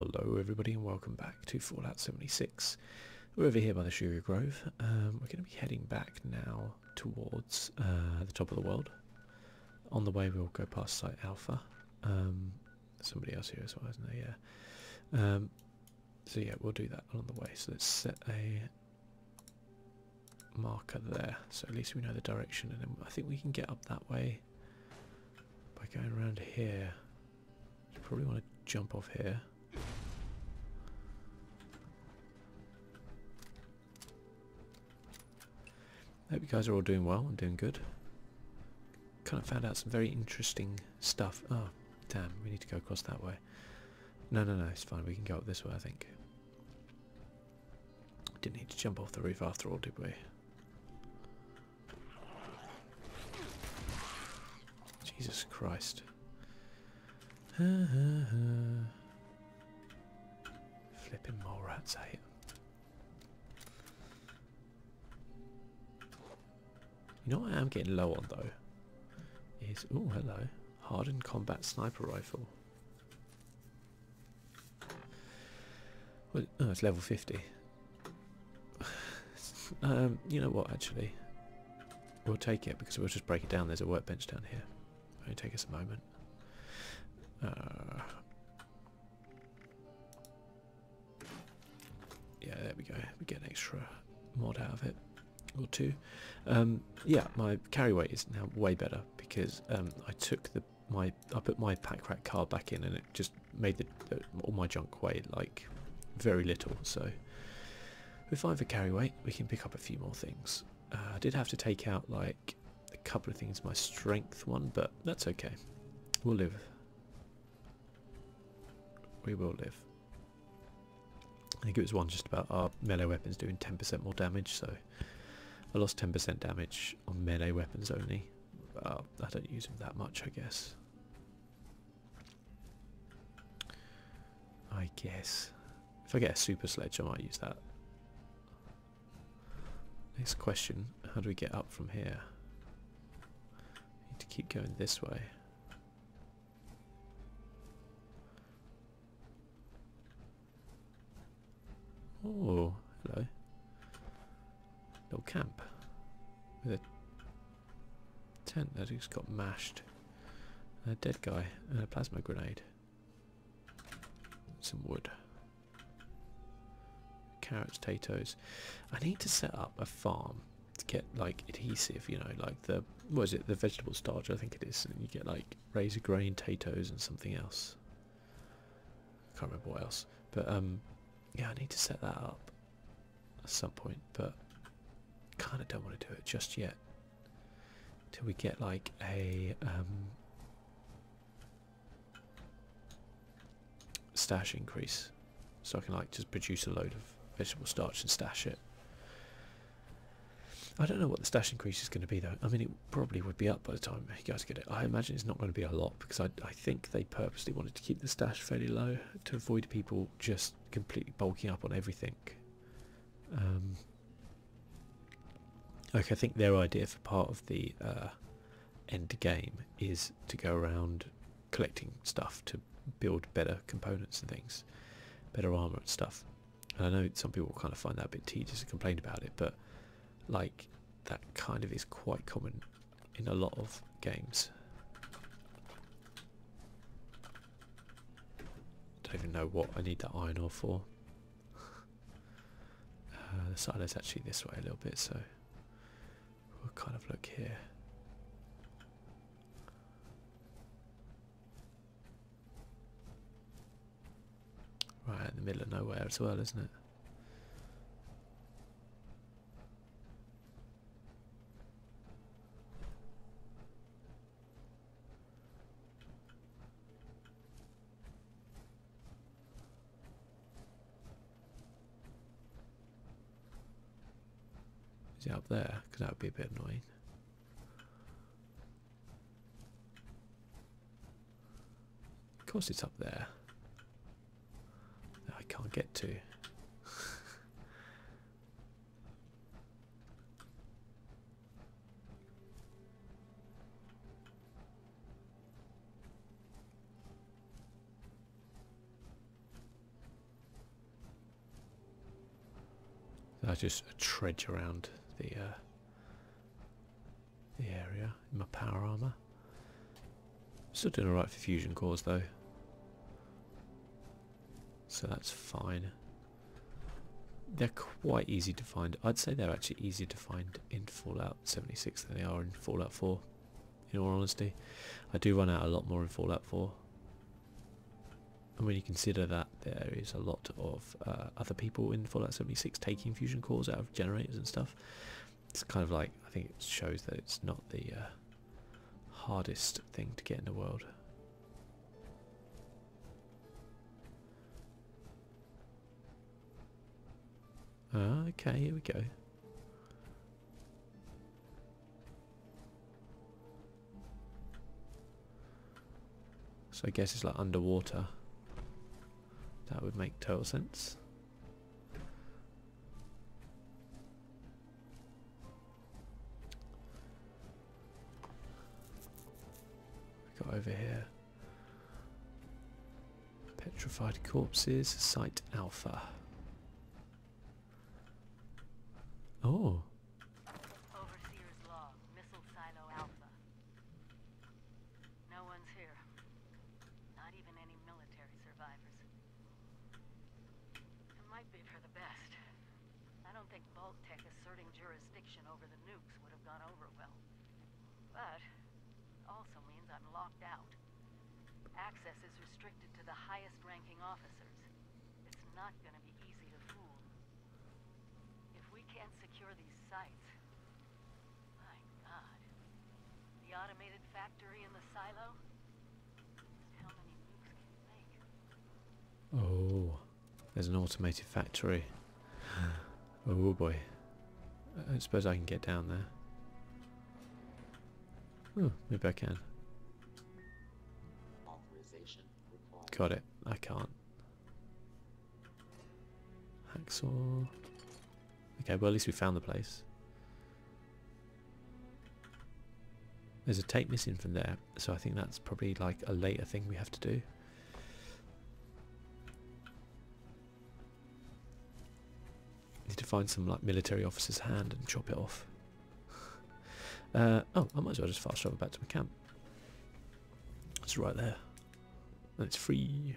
Hello everybody and welcome back to Fallout 76. We're over here by the Shuri Grove. Um, we're going to be heading back now towards uh, the top of the world. On the way we'll go past Site Alpha. Um, somebody else here as well, isn't there? Yeah. Um, so yeah, we'll do that on the way. So let's set a marker there. So at least we know the direction and I think we can get up that way by going around here, you probably want to jump off here. Hope you guys are all doing well and doing good. Kind of found out some very interesting stuff. Oh, damn, we need to go across that way. No, no, no, it's fine. We can go up this way, I think. Didn't need to jump off the roof after all, did we? Jesus Christ. Flipping mole rats, eh? You know what I am getting low on though? Is oh hello. Hardened combat sniper rifle. Well, oh, it's level 50. Um, you know what, actually. We'll take it because we'll just break it down. There's a workbench down here. Only take us a moment. Uh, yeah, there we go. We get an extra mod out of it or two. Um, yeah, my carry weight is now way better because um, I took the my I put my pack rat card back in and it just made all my junk weigh like very little. So with either carry weight, we can pick up a few more things. Uh, I did have to take out like a couple of things, my strength one, but that's okay. We'll live. We will live. I think it was one just about our melee weapons doing 10% more damage, so I lost 10% damage on melee weapons only. I don't use him that much, I guess. I guess. If I get a super sledge, I might use that. Next question, how do we get up from here? Need to keep going this way. Oh, hello little camp with a tent that just got mashed, a dead guy, and a plasma grenade, some wood, carrots, potatoes. I need to set up a farm to get like adhesive, you know, like the what is it, the vegetable starch? I think it is, and you get like razor grain, potatoes, and something else. Can't remember what else, but um, yeah, I need to set that up at some point, but kind of don't want to do it just yet. Till we get like a um, stash increase, so I can like just produce a load of vegetable starch and stash it. I don't know what the stash increase is going to be though. I mean, it probably would be up by the time you guys get it. I imagine it's not going to be a lot because I, think they purposely wanted to keep the stash fairly low to avoid people just completely bulking up on everything. Um, like I think their idea for part of the uh, end game is to go around collecting stuff to build better components and things, better armour and stuff. And I know some people kind of find that a bit tedious and complain about it, but like that kind of is quite common in a lot of games. Don't even know what I need that iron ore for. Uh, the silo's actually this way a little bit, so we'll kind of look here. Right in the middle of nowhere as well, isn't it? Is it up there? Because that would be a bit annoying. Of course it's up there. I can't get to. I just trudge around the uh, the area in my power armor. Still doing alright for fusion cores though. So that's fine. They're quite easy to find. I'd say they're actually easier to find in Fallout 76 than they are in Fallout 4, in all honesty. I do run out a lot more in Fallout 4. And when you consider that there is a lot of uh, other people in Fallout 76 taking fusion cores out of generators and stuff, it's kind of like I think it shows that it's not the uh, hardest thing to get in the world. okay, here we go. So I guess it's like underwater. That would make total sense. Got over here. Petrified corpses, site alpha. Oh. Overseer's log, missile silo alpha. No one's here. Not even any military survivors. It might be for the best. I don't think Baltec asserting jurisdiction over the nukes would have gone over well. But it also means I'm locked out. Access is restricted to the highest ranking officers. It's not gonna be easy to fool. If we can't secure these sites, my god. The automated factory Oh, there's an automated factory. oh boy. I suppose I can get down there. Oh, maybe I can. Got it. I can't. Hacksaw. Okay, well at least we found the place. There's a tape missing from there, so I think that's probably like a later thing we have to do. Need to find some like military officer's hand and chop it off. Uh, oh, I might as well just fast travel back to my camp. It's right there. And it's free.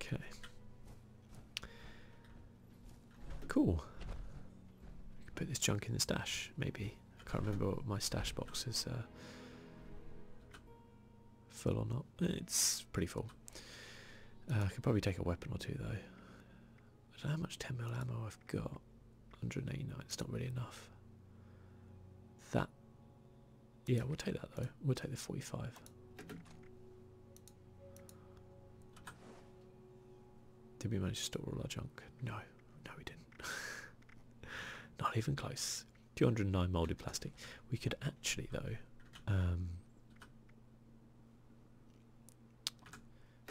Okay. Cool. put this junk in the stash, maybe. I can't remember what my stash box is uh, full or not. It's pretty full. Uh, I could probably take a weapon or two though. I don't know how much 10mm ammo I've got. 189, it's not really enough. That. Yeah, we'll take that though. We'll take the 45. Did we manage to store all our junk? No, no, we didn't. Not even close. 209 molded plastic. We could actually, though, um,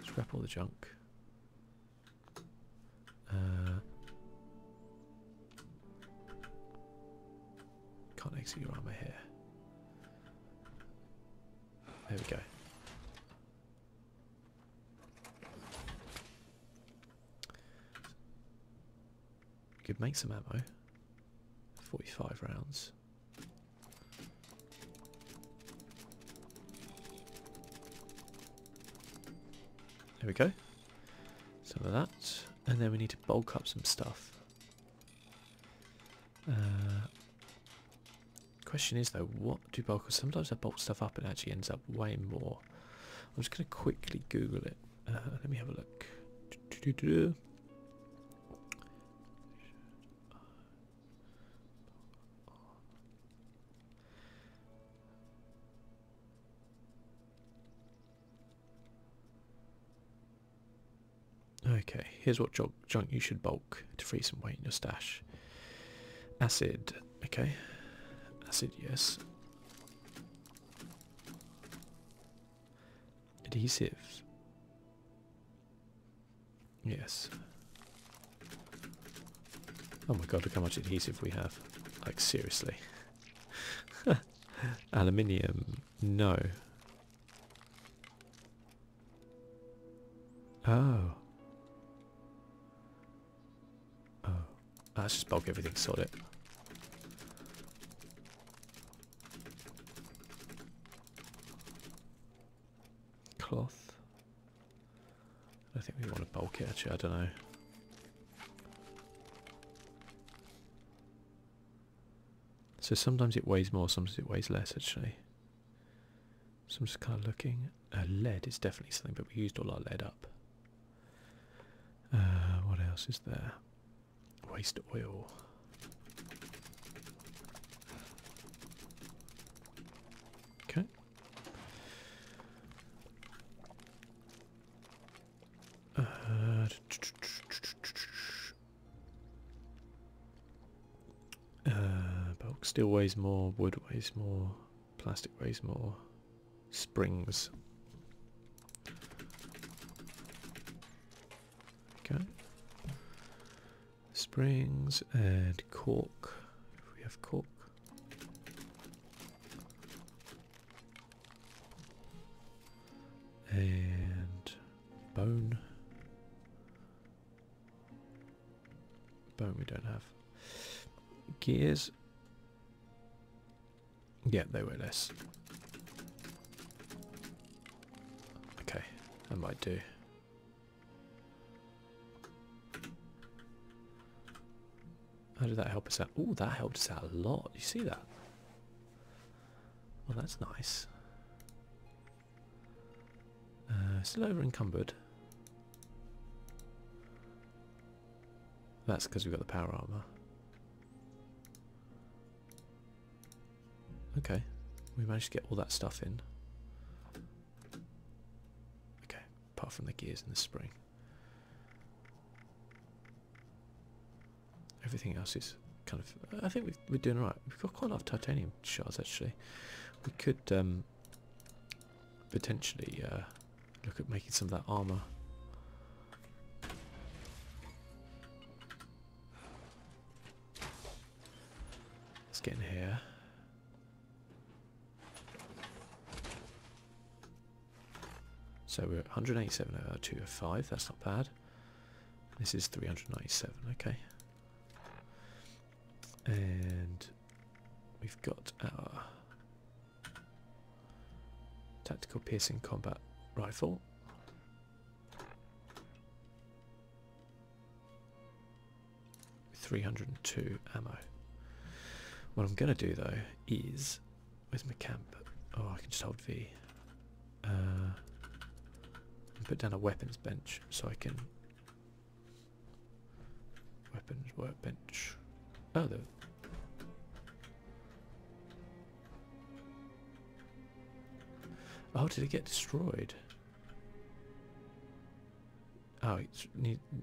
Scrap all the junk. Uh, can't exit your armor here. There we go. Could make some ammo. Forty-five rounds. There we go. Some of that. And then we need to bulk up some stuff. Uh, question is though, what do bulk up? Sometimes I bulk stuff up and it actually ends up way more. I'm just going to quickly Google it. Uh, let me have a look. Okay, here's what junk you should bulk to free some weight in your stash. Acid, okay. Acid, yes. Adhesive. Yes. Oh my god, look how much adhesive we have. Like, seriously. Aluminium. No. Oh. Oh. that's ah, just bulk everything solid cloth. I think we want to bulk it actually, I don't know. So sometimes it weighs more, sometimes it weighs less actually. So I'm just kind of looking. Uh, lead is definitely something, but we used all our lead up. Uh, what else is there? Waste oil. Okay. Uh, uh, bulk steel weighs more, wood weighs more, plastic weighs more, springs. Okay springs and cork. If we have cork. And bone. Bone we don't have. Gears. Yeah, they were less. Okay, that might do. How did that help us out? Oh, that helped us out a lot. You see that? Well, that's nice. Uh, still over encumbered. That's because we've got the power armor. Okay, we managed to get all that stuff in. Okay, apart from the gears and the spring. Everything else is kind of. I think we are doing right. We've got quite a lot of titanium shards actually. We could um, potentially uh, look at making some of that armour. Let's get in here. So we're at 187 that's not bad. This is 397, okay. And we've got our tactical piercing combat rifle. 302 ammo. What I'm going to do though is. with my camp? Oh, I can just hold V. Uh, put down a weapons bench so I can. Weapons workbench. Oh, the. Oh, did it get destroyed? Oh, it's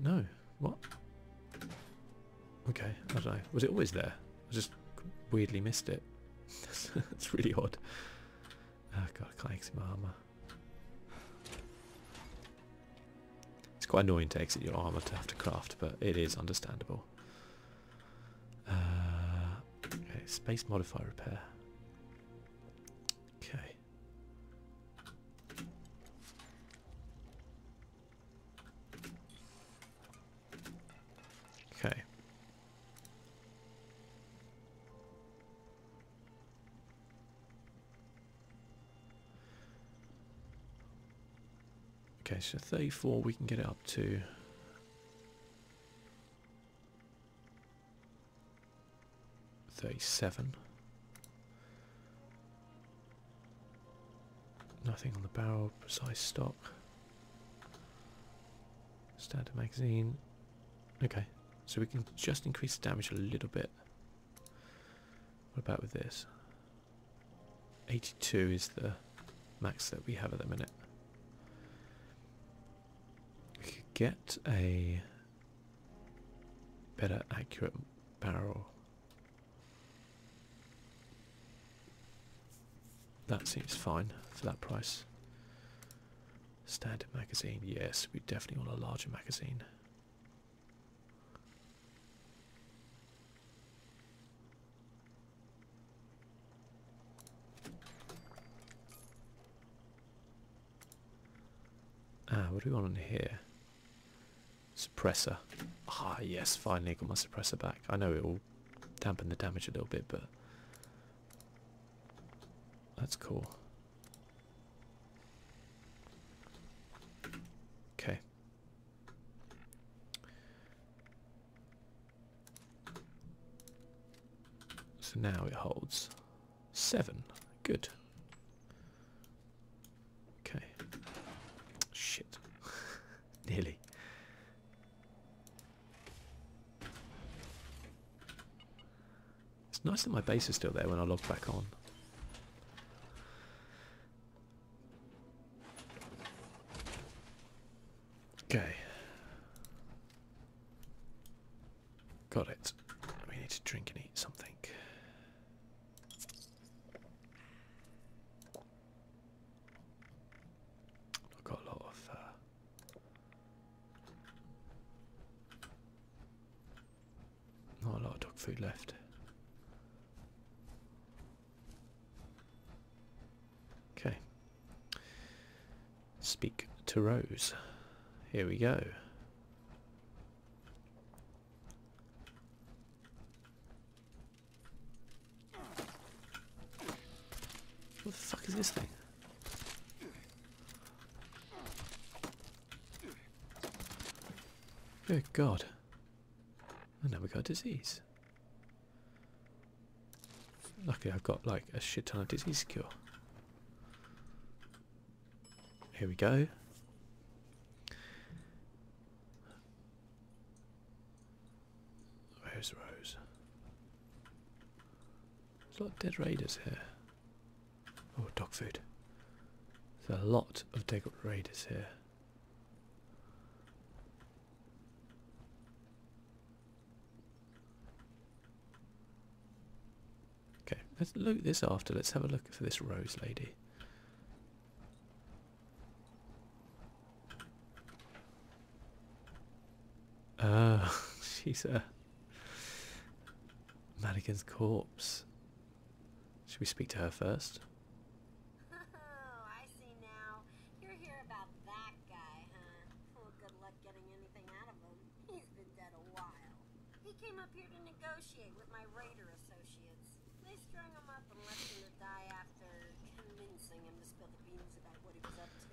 no. What? Okay, I don't know. Was it always there? I just weirdly missed it. That's really odd. Oh god, I can't exit my armor. It's quite annoying to exit your armor to have to craft, but it is understandable. Uh, okay, space modifier repair. Okay. Okay. Okay, so 34 we can get it up to 37. Nothing on the barrel, precise stock. Standard magazine. Okay, so we can just increase the damage a little bit. What about with this? 82 is the max that we have at the minute. We could get a better accurate barrel. That seems fine for that price. Standard magazine, yes, we definitely want a larger magazine. Ah, what do we want on here? Suppressor. Ah, yes, finally got my suppressor back. I know it will dampen the damage a little bit, but that's cool. Okay. So now it holds Seven. Good. Okay. Shit. Nearly. It's nice that my base is still there when I log back on. Okay. Got it. We need to drink and eat something. I've got a lot of. Uh, not a lot of dog food left. Okay. Speak to Rose. Here we go. What the fuck is this thing? Good God. I now we got disease. Luckily I've got like a shit ton of disease cure. Here we go. Where's Rose? There's a lot of dead raiders here. Oh, dog food. There's a lot of dead raiders here. Okay, let's loot this after. Let's have a look for this rose lady. Oh, she's a mannequin's corpse. Should we speak to her first? Oh, getting anything out of him. He's been dead a while. He came up here to negotiate with my raider associates. They strung him up and left him to die after convincing him to spill the beans about what he was up to.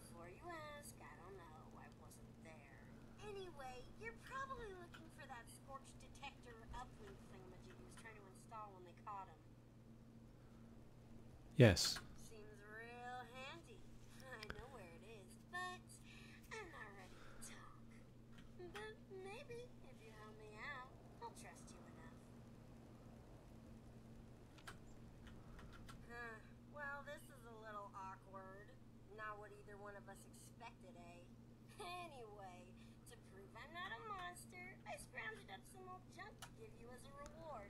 Before you ask, I don't know. I wasn't there. Anyway, you're probably looking for that scorch detector uplink thingamajig he was trying to install when they caught him. Yes. Seems real handy. I know where it is but I'm not ready to talk. But maybe if you help me out, I'll trust you enough. Well, this is a little awkward. Not what either one of us expected, eh? Anyway, to prove I'm not a monster, I scrounged up some old junk to give you as a reward.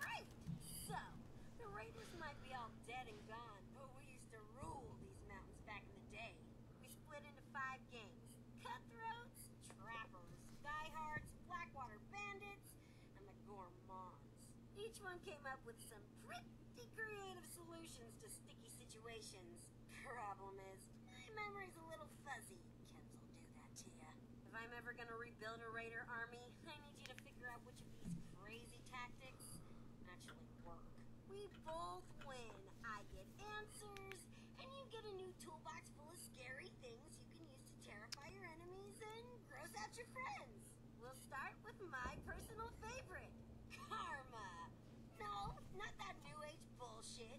Great! So, the Raiders might be all dead and gone, but we used to rule these mountains back in the day. We split into five gangs. Cutthroats, trappers, diehards, blackwater bandits, and the gourmands. Each one came up with some pretty creative solutions to sticky situations. Problem is, my memory's a little fuzzy, if I'm ever gonna rebuild a raider army, I need you to figure out which of these crazy tactics actually work. We both win. I get answers, and you get a new toolbox full of scary things you can use to terrify your enemies and gross out your friends. We'll start with my personal favorite, karma. No, not that new age bullshit.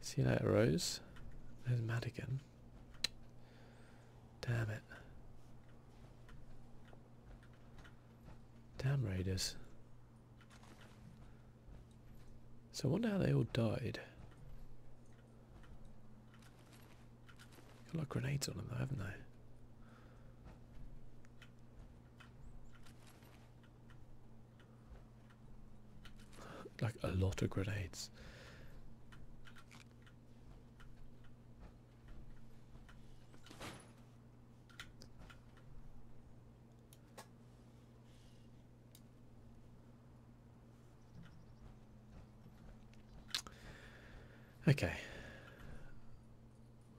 See you later, Rose. There's Madigan. Damn it. Damn raiders. So wonder how they all died. Got a lot of grenades on them though, haven't they? like a lot of grenades. Okay.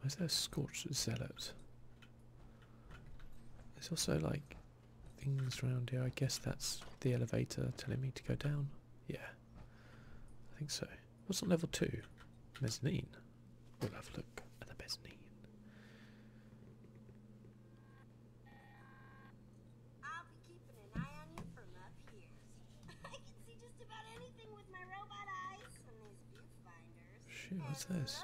Where's that scorched zealot? There's also like things around here. I guess that's the elevator telling me to go down. Yeah, I think so. What's on level two? Mezzanine. We'll have a look at the mezzanine. i what's this?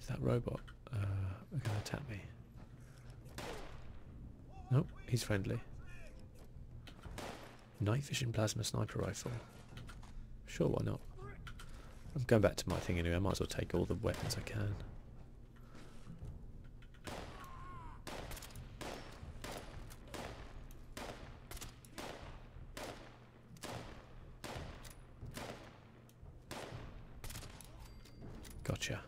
Is that robot uh, gonna attack me? Nope, he's friendly. Night vision plasma sniper rifle. Sure, why not? I'm going back to my thing anyway. I might as well take all the weapons I can. Gotcha.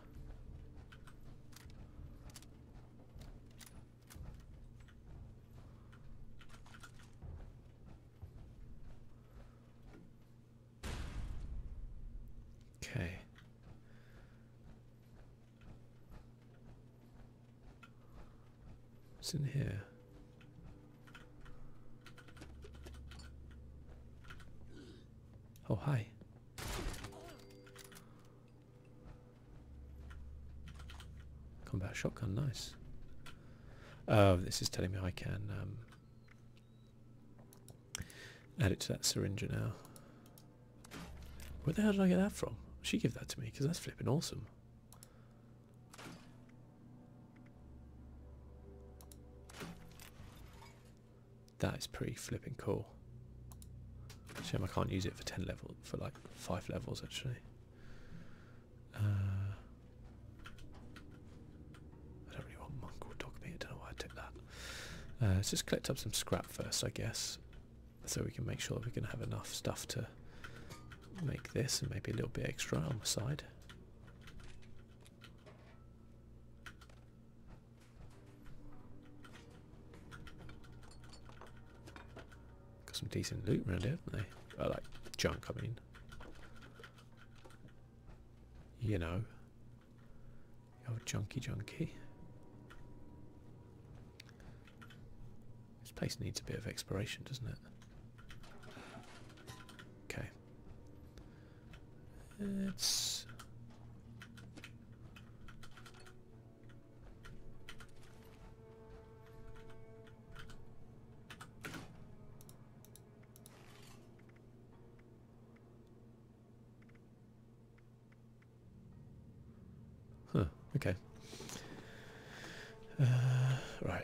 Okay. What's in here? Oh, hi. Combat shotgun, nice. Oh, this is telling me I can um, add it to that syringe now. Where the hell did I get that from? She give that to me because that's flipping awesome. That is pretty flipping cool. Shame I can't use it for ten levels for like five levels actually. Uh, I don't really want monk or dog don't know why I took that. Uh, let's just collect up some scrap first, I guess, so we can make sure we can have enough stuff to make this and maybe a little bit extra on the side. Got some decent loot around here, haven't they? Oh, like junk, I mean. You know. The old junky junkie. This place needs a bit of exploration, doesn't it? Okay. It's Huh, okay. Uh, right.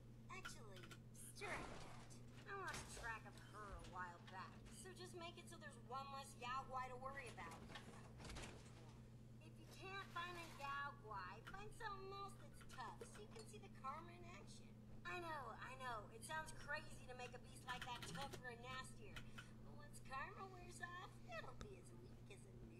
Actually, strike that. I lost track of her a while back, so just make it so there's one less Yaogwai to worry about. If you can't find a Yaogwai, find something else that's tough so you can see the karma in action. I know, I know, it sounds crazy to make a beast like that tougher and nastier, but once karma wears off, it'll be as weak as a new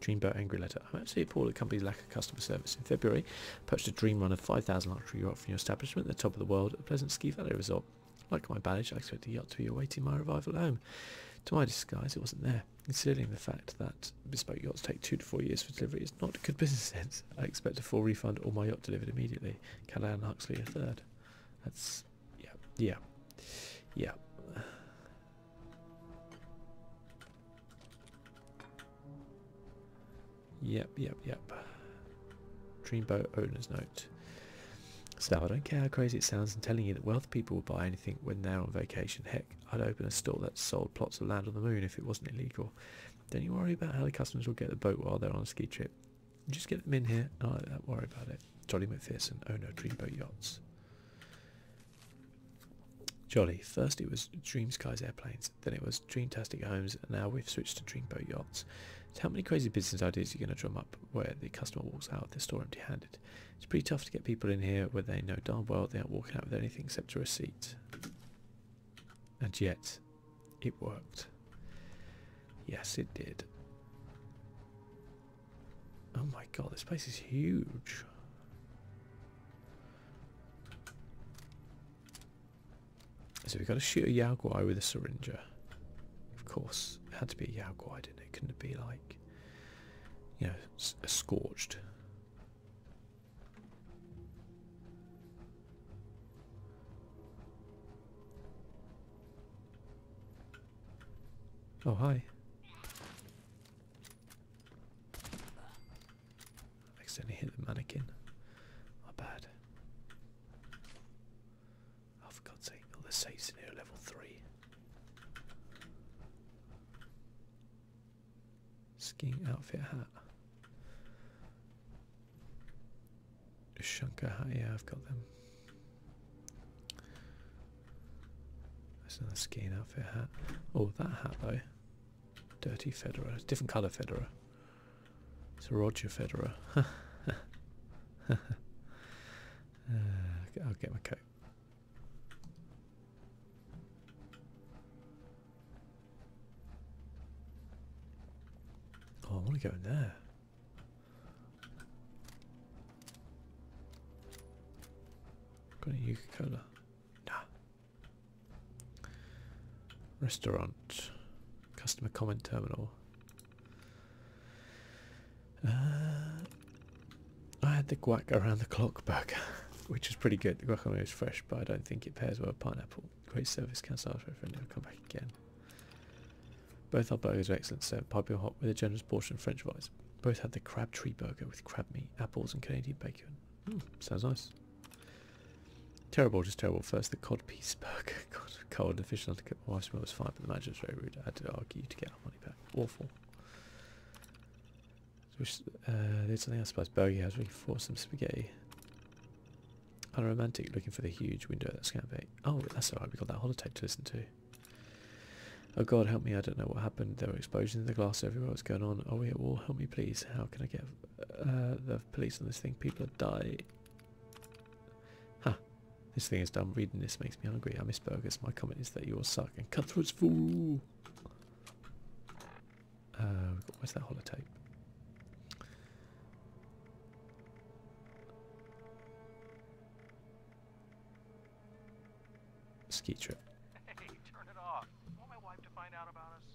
Dreamboat Angry Letter. I'm actually appalled at companies' lack of customer service. In February, purchased a dream run of 5,000 luxury yacht from your establishment at the top of the world, a pleasant ski valley resort. Like my baggage, I expect the yacht to be awaiting my revival at home. To my disguise, it wasn't there. Considering the fact that bespoke yachts take two to four years for delivery, is not good business sense. I expect a full refund or my yacht delivered immediately. Callahan Huxley III. That's yeah, yeah, yeah. Yep, yep, yep. Dreamboat owner's note. So I don't care how crazy it sounds in telling you that wealth people will buy anything when they're on vacation. Heck, I'd open a store that sold plots of land on the moon if it wasn't illegal. Don't you worry about how the customers will get the boat while they're on a ski trip. Just get them in here and I don't worry about it. Jolly McPherson, Ono, oh Dreamboat Yachts. Jolly, first it was Dream Airplanes, then it was Dreamtastic Homes, and now we've switched to Dreamboat Yachts. how many crazy business ideas are you going to drum up where the customer walks out of the store empty-handed? It's pretty tough to get people in here where they know darn well they aren't walking out with anything except a receipt. And yet, it worked. Yes, it did. Oh my god, this place is huge. So we have got to shoot a Yaguai with a syringer. Of course, it had to be a Yaguai, didn't it? Couldn't it be like, you know, a scorched? Oh, hi. I accidentally hit the mannequin. My bad. Oh, for God's sake, all the safes in here level 3. Skiing outfit hat. A hat, yeah, I've got them. That's another skiing outfit hat. Oh, that hat though. Dirty Federer. It's different colour Federer. It's a Roger Federer. Uh, I'll get my coat. Oh, I want to go in there. Got a Yuka Cola. Restaurant. Customer comment terminal. Uh, I had the guac around the clock burger, which is pretty good. The guacamole is fresh, but I don't think it pairs well with pineapple. Great service, can't cancel after a friend, come back again. Both our burgers are excellent, So, Pipe hot with a generous portion of french fries. Both had the Crabtree burger with crab meat, apples, and Canadian bacon. Hmm, sounds nice. Terrible, just terrible. First, the cod piece burger. God, cold and the fish undercooked. My wife's meal was fine, but the manager was very rude. I had to argue to get our money back. Awful. Uh, there's something I suppose. Burger House. We can some spaghetti. Unromantic, looking for the huge window That's gonna be. Oh, that's alright. We got that holotape to listen to. Oh god, help me, I don't know what happened. There were explosions in the glass everywhere. What's going on? Oh, we at Help me, please. How can I get uh, the police on this thing? People are dying. Huh. This thing is dumb. Reading this makes me angry. I miss burgers. My comment is that you all suck and cutthroats fool. Uh, where's that holotape? ski trip. Hey, turn it off. Want my wife to find out about us?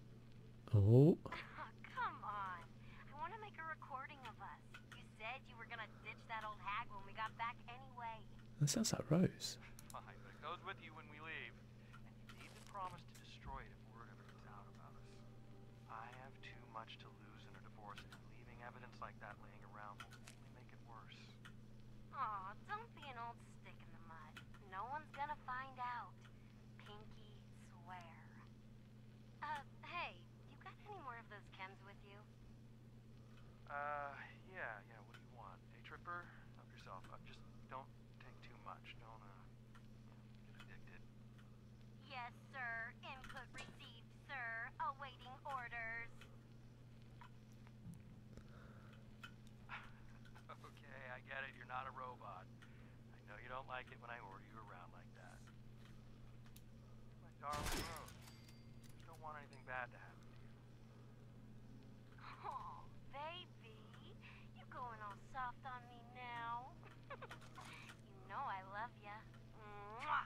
Oh. come on. I want to make a recording of us. You said you were going to ditch that old hag when we got back anyway. That sounds like Rose. Fine, it goes with you when we leave. And you need to to destroy it if word ever gets out about us. I have too much to lose in a divorce, leaving evidence like that laying around only Aw, don't be an old stick in the mud. No one's gonna find out. Pinky swear. Uh, hey, you got any more of those chems with you? Uh, yeah, yeah, what do you want? A tripper? Help yourself. Uh, just don't take too much. Don't, uh, get addicted. Yes, sir. Input received, sir. Awaiting orders okay, I get it. You're not a robot. I know you don't like it when I order you around like that. My darling Rose, don't want anything bad to happen to you. Oh, baby. You're going all soft on me now. you know I love you. Mwah!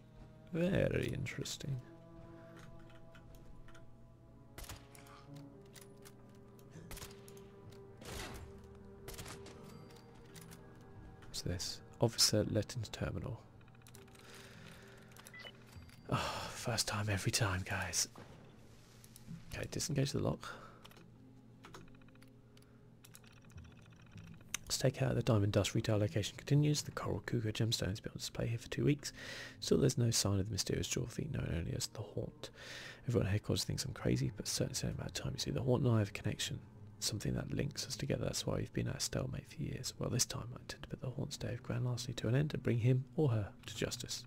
Very interesting. What's this? Officer Letton's terminal. Oh, first time every time, guys. Okay, disengage the lock. Let's take out the diamond dust retail location continues. The coral cougar gemstones has on display here for two weeks. Still, there's no sign of the mysterious jaw thief known only as the haunt. Everyone here calls things I'm crazy, but certainly it's only about time. You see, the haunt and I have a connection, something that links us together. That's why we've been at a stalemate for years. Well, this time I intend to put the haunt's day of grand lastly to an end and bring him or her to justice.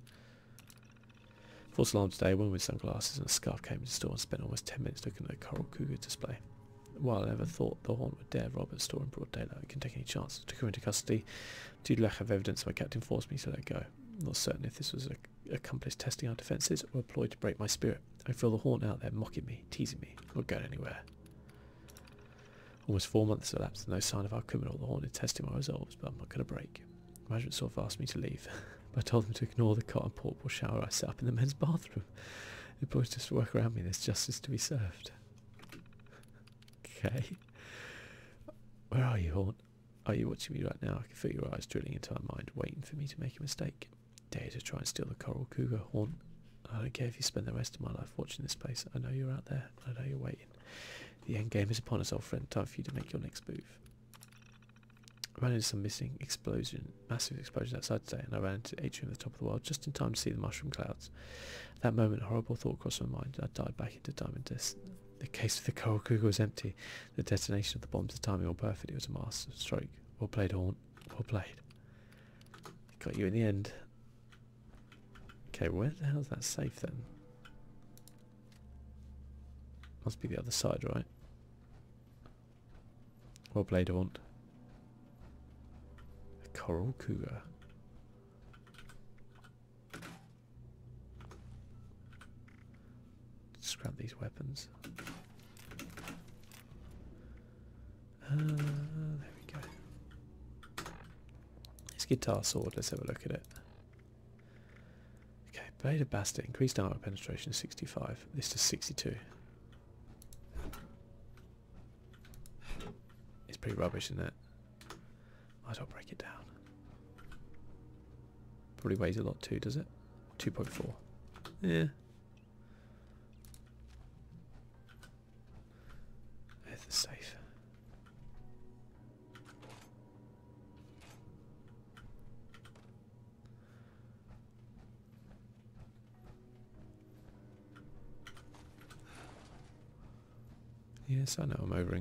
False alarm today, One with sunglasses and a scarf came into the store and spent almost 10 minutes looking at the coral cougar display. While ever thought the Horn would dare rob at store in broad daylight, I can take any chance to come into custody. Due to lack of evidence, my captain forced me to let go. I'm not certain if this was a accomplished testing our defences or a ploy to break my spirit. I feel the Horn out there mocking me, teasing me, not going anywhere. Almost four months elapsed, and no sign of our criminal. The Horn is testing my resolves, but I'm not going to break. Management sort of asked me to leave, but I told them to ignore the cot and portable shower I set up in the men's bathroom. The boys just work around me, there's justice to be served okay. Where are you, Horn? Are you watching me right now? I can feel your eyes drilling into my mind, waiting for me to make a mistake. Dare to try and steal the coral cougar, Horn. I don't care if you spend the rest of my life watching this place. I know you're out there. I know you're waiting. The end game is upon us, old friend. Time for you to make your next move. ran into some missing explosion, massive explosion outside today, and I ran into the atrium at the top of the world just in time to see the mushroom clouds. That moment, a horrible thought crossed my mind. I died back into Diamond Disc. The case for the Kohakuga was empty. The detonation of the bombs, the timing all perfect. It was a master stroke. Well played, Horn. Well played. Got you in the end. Okay, where the hell's that safe then? Must be the other side, right? Well played, Horn coral cougar. Just grab these weapons. Uh, there we go. This guitar sword, let's have a look at it. Okay, blade of bastet, increased armor penetration 65. This is 62. It's pretty rubbish, isn't it? Might as well break it down. Probably weighs a lot too, does it? 2.4. Yeah. There's the safe. Yes, I know I'm over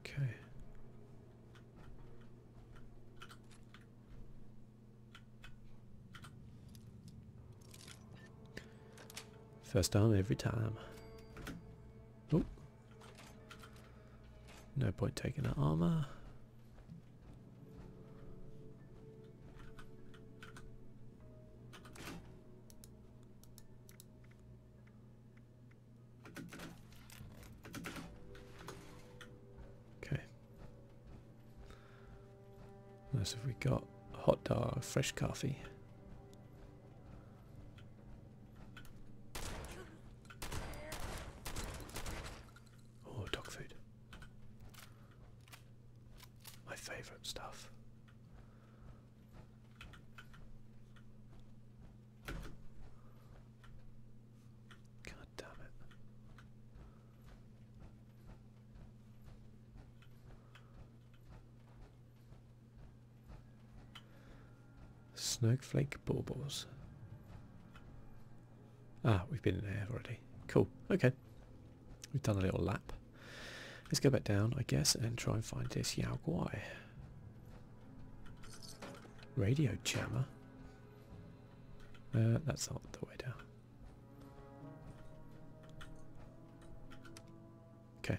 Okay. First time every time. Oh, no point taking the armor. Okay. What else have we got? Hot dog, fresh coffee. Oh, dog food. My favourite stuff. God damn it. Snowflake baubles. Ah, we've been in there already. Cool. Okay. We've done a little lap. Let's go back down, I guess, and try and find this Yao Guai. Radio jammer. Uh, that's not the way down. Okay.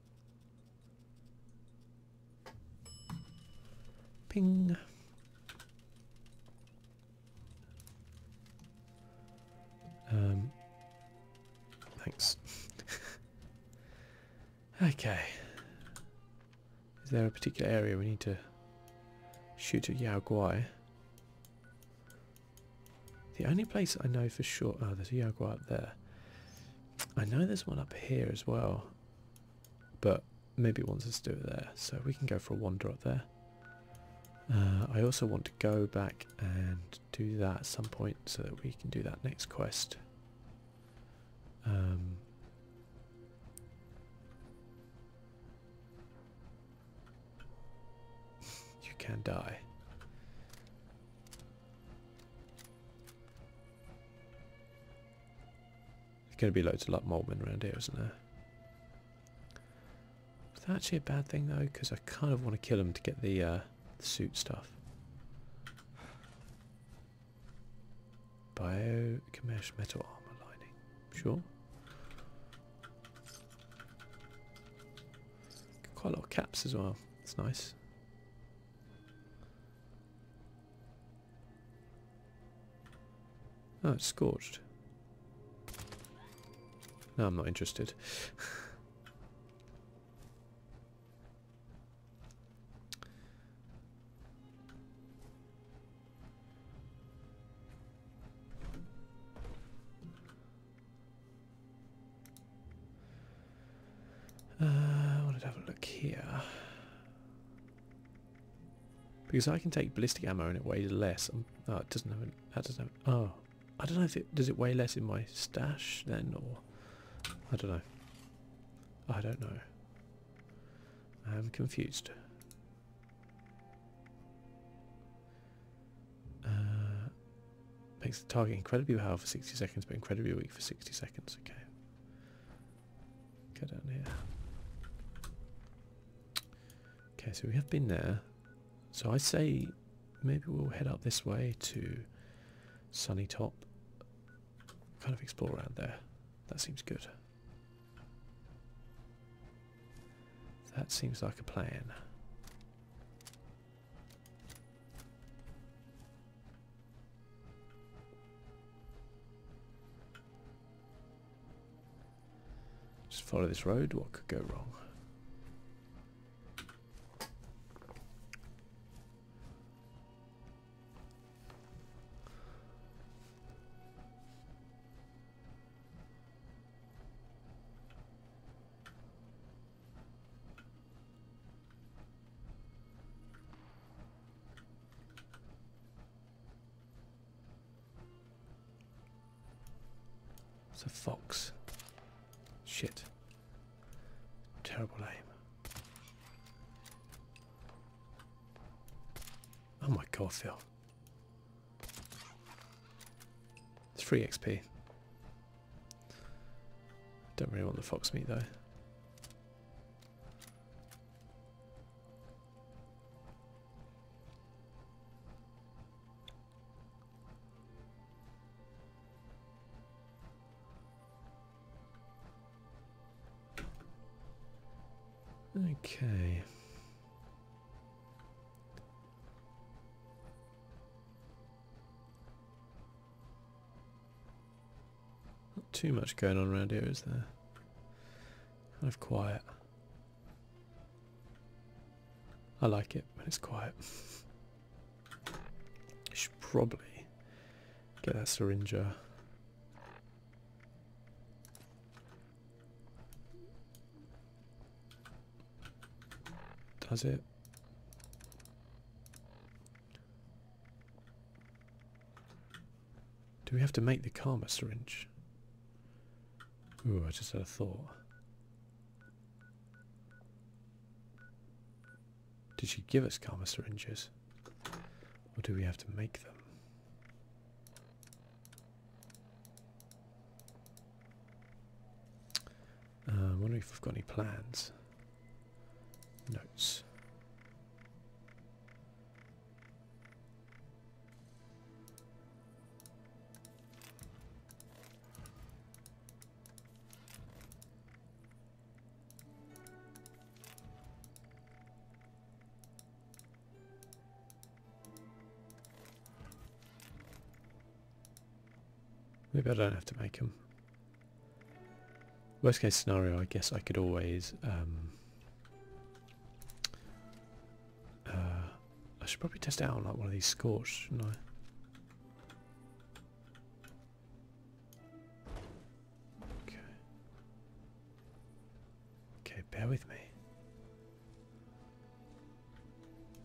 Ping. Um, thanks. okay. Is there a particular area we need to shoot at Yao Guai? The only place I know for sure... Oh, there's a jaguar up there. I know there's one up here as well. But maybe once wants us do it there. So we can go for a wander up there. Uh, I also want to go back and do that at some point so that we can do that next quest. Um, you can not die. There's going to be loads of like Moltmann around here, isn't there? Is that actually a bad thing though? Because I kind of want to kill him to get the, uh, suit stuff. Bio commercial metal armor lining. Sure. Quite a lot of caps as well. It's nice. Oh, it's scorched. No, I'm not interested. Uh, I want to have a look here. Because I can take ballistic ammo and it weighs less. Um, oh, it doesn't have. An, doesn't Oh, I don't know if it does it weigh less in my stash then, or I don't know. I don't know. I'm confused. Uh, makes the target incredibly powerful for 60 seconds, but incredibly weak for 60 seconds. Okay. Go down here. Okay, so we have been there. So I say maybe we'll head up this way to Sunny Top. Kind of explore around there. That seems good. That seems like a plan. Just follow this road, what could go wrong? It's a fox. Shit. Terrible aim. Oh my god, Phil. It's free XP. Don't really want the fox meat though. Okay. Not too much going on around here, is there? Kind of quiet. I like it when it's quiet. I should probably get that syringe uh, does it? Do we have to make the karma syringe? Ooh, I just had a thought. Did she give us karma syringes? Or do we have to make them? Uh, I wonder if i have got any plans. Notes. Maybe I don't have to make them. Worst case scenario, I guess I could always... Um, uh, I should probably test out like one of these scorched, shouldn't I? Okay. Okay, bear with me.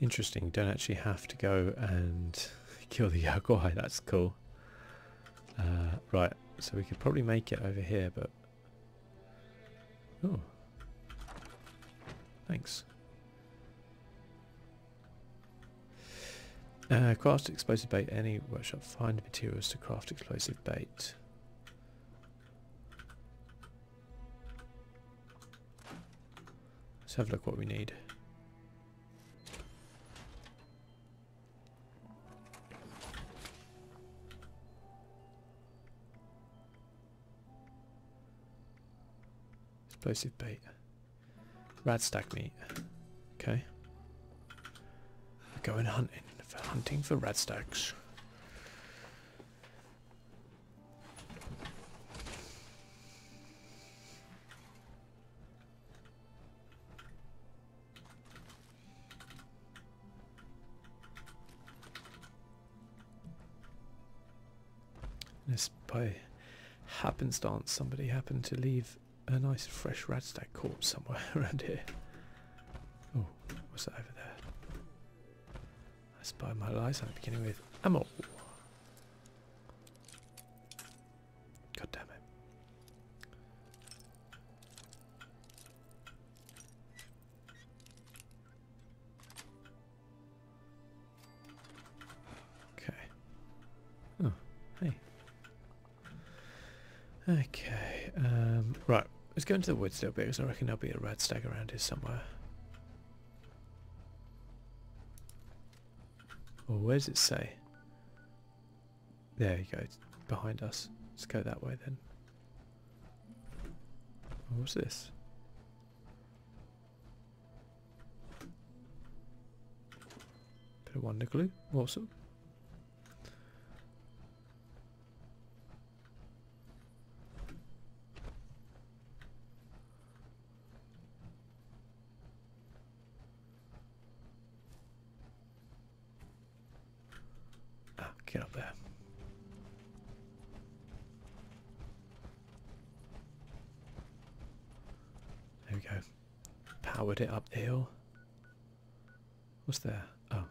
Interesting. Don't actually have to go and kill the Yaguai. That's cool. Uh, right. So we could probably make it over here, but... Oh. Thanks. Uh, craft explosive bait. Any workshop find materials to craft explosive bait. Let's have a look what we need. Explosive bait. Rat stack meat. Okay. Going hunting for hunting for rat stacks. This by happenstance somebody happened to leave a nice fresh radstag corpse somewhere around here. Oh, what's that over there? I spy my lies. I'm beginning with ammo. God damn it. Okay. Oh, hey. Okay, um, right. Let's go into the woods a still because I reckon there'll be a red stag around here somewhere. Or where does it say? There you go, behind us. Let's go that way then. What's this? Put a wonder glue. Awesome. Ah, get up there. There we go powered it up the hill. What's there? Oh.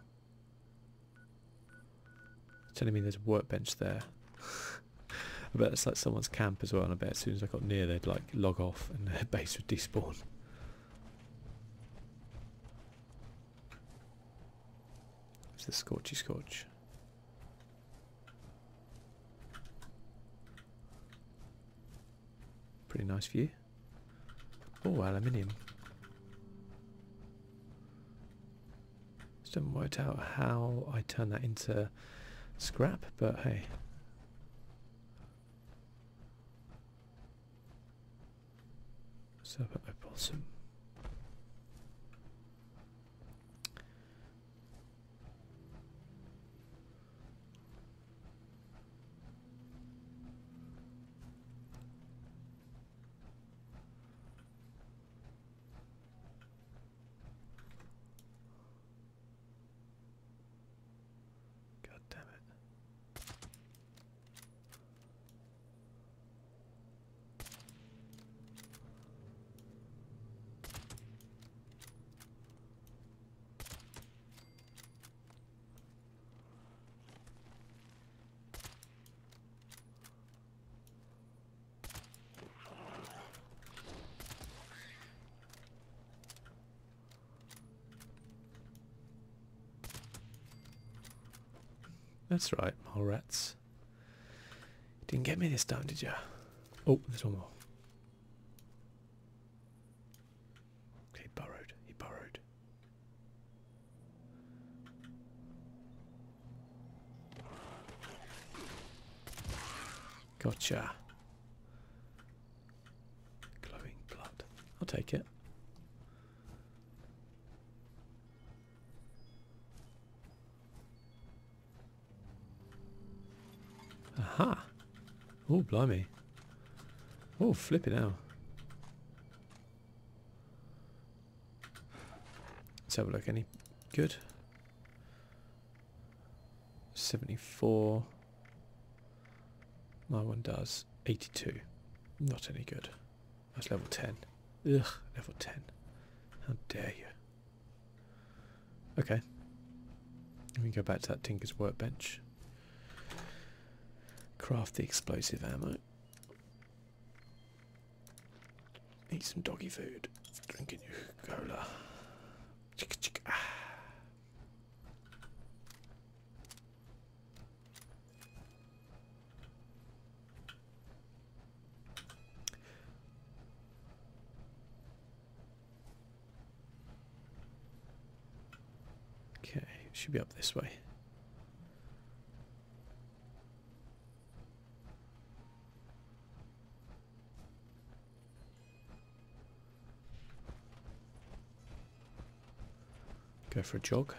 It's telling me there's a workbench there. I bet it's like someone's camp as well and I bet as soon as I got near they'd like log off and their base would despawn. It's the scorchy scorch. Pretty nice view. Oh, aluminium. Just do not worked out how I turn that into scrap, but hey. Serpent opossum. God damn it. That's right, mole rats. didn't get me this time, did you? Oh, there's one more. He borrowed. He borrowed. Gotcha. Glowing blood. I'll take it. Aha. Oh, blimey. Oh, flip it out. Let's have a look. Any good? 74. My one does. 82. Not any good. That's level 10. Ugh, level 10. How dare you. Okay. Let me go back to that Tinker's workbench. Craft the explosive ammo. Eat some doggy food. Drinking your cola. Okay, should be up this way. Go for a jog.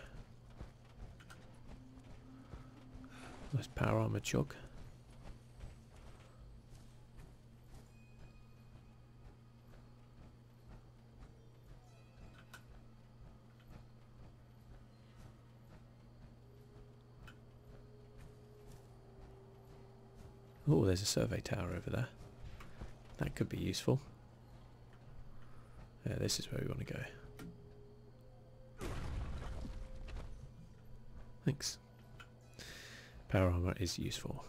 Nice power armor jog. Oh, there's a survey tower over there. That could be useful. Yeah, this is where we want to go. Thanks. Power armor is useful.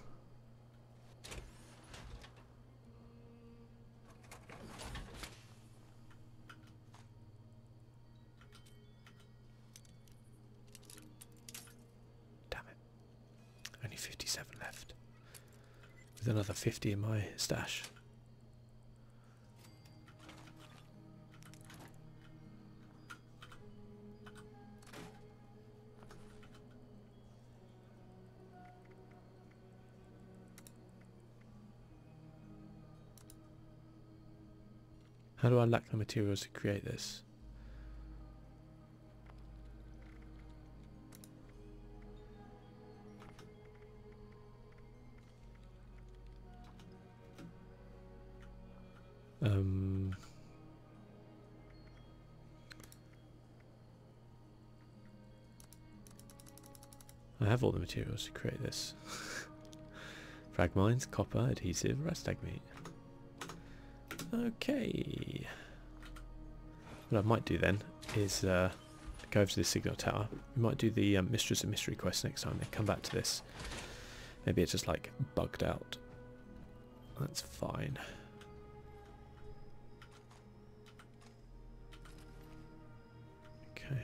Damn it. Only 57 left. With another 50 in my stash. How do I lack the materials to create this? Um, I have all the materials to create this. Frag mines, copper, adhesive, rust egg meat. Okay. What I might do then is uh, go over to the signal tower. We might do the um, Mistress of Mystery quest next time, and come back to this. Maybe it's just like bugged out. That's fine. Okay.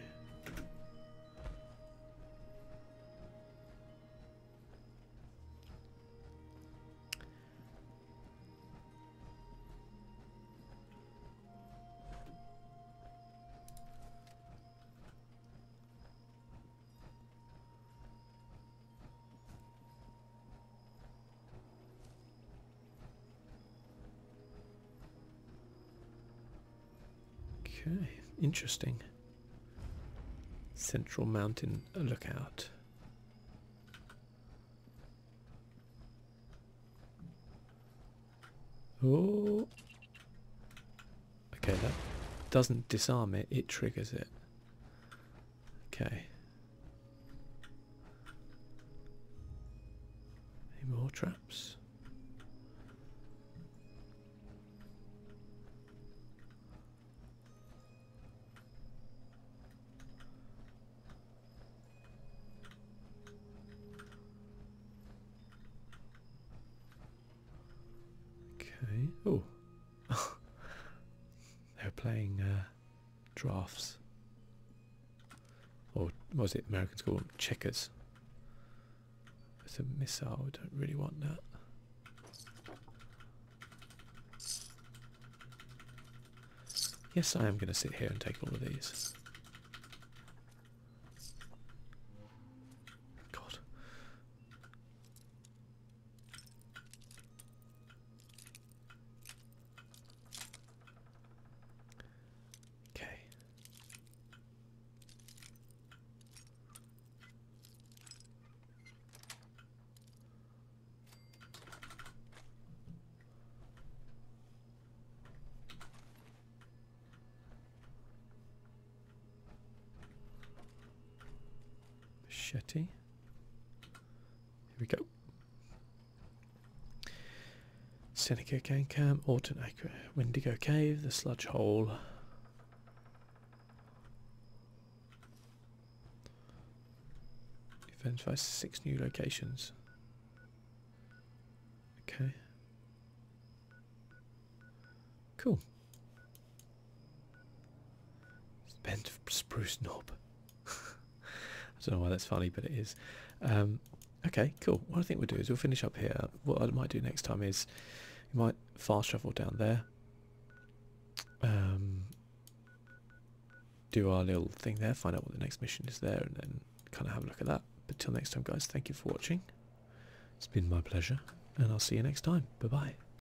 Okay, interesting. Central Mountain Lookout. Oh. Okay, that doesn't disarm it, it triggers it. Okay. Any more traps? Okay. Oh. They're playing uh, drafts, or was it Americans call them checkers? It's a missile. I don't really want that. Yes, I am going to sit here and take all of these. God. Okay. Machete. Here we go. Seneca Gang Camp, Orton Acre, Wendigo Cave, the Sludge Hole. Identify six new locations. Okay. Cool. Bent spruce knob. I don't know why that's funny, but it is. Um, okay, cool. What I think we'll do is we'll finish up here. What I might do next time is we might fast travel down there. Um, do our little thing there, find out what the next mission is there, and then kind of have a look at that. But till next time, guys, thank you for watching. It's been my pleasure, and I'll see you next time. Bye-bye.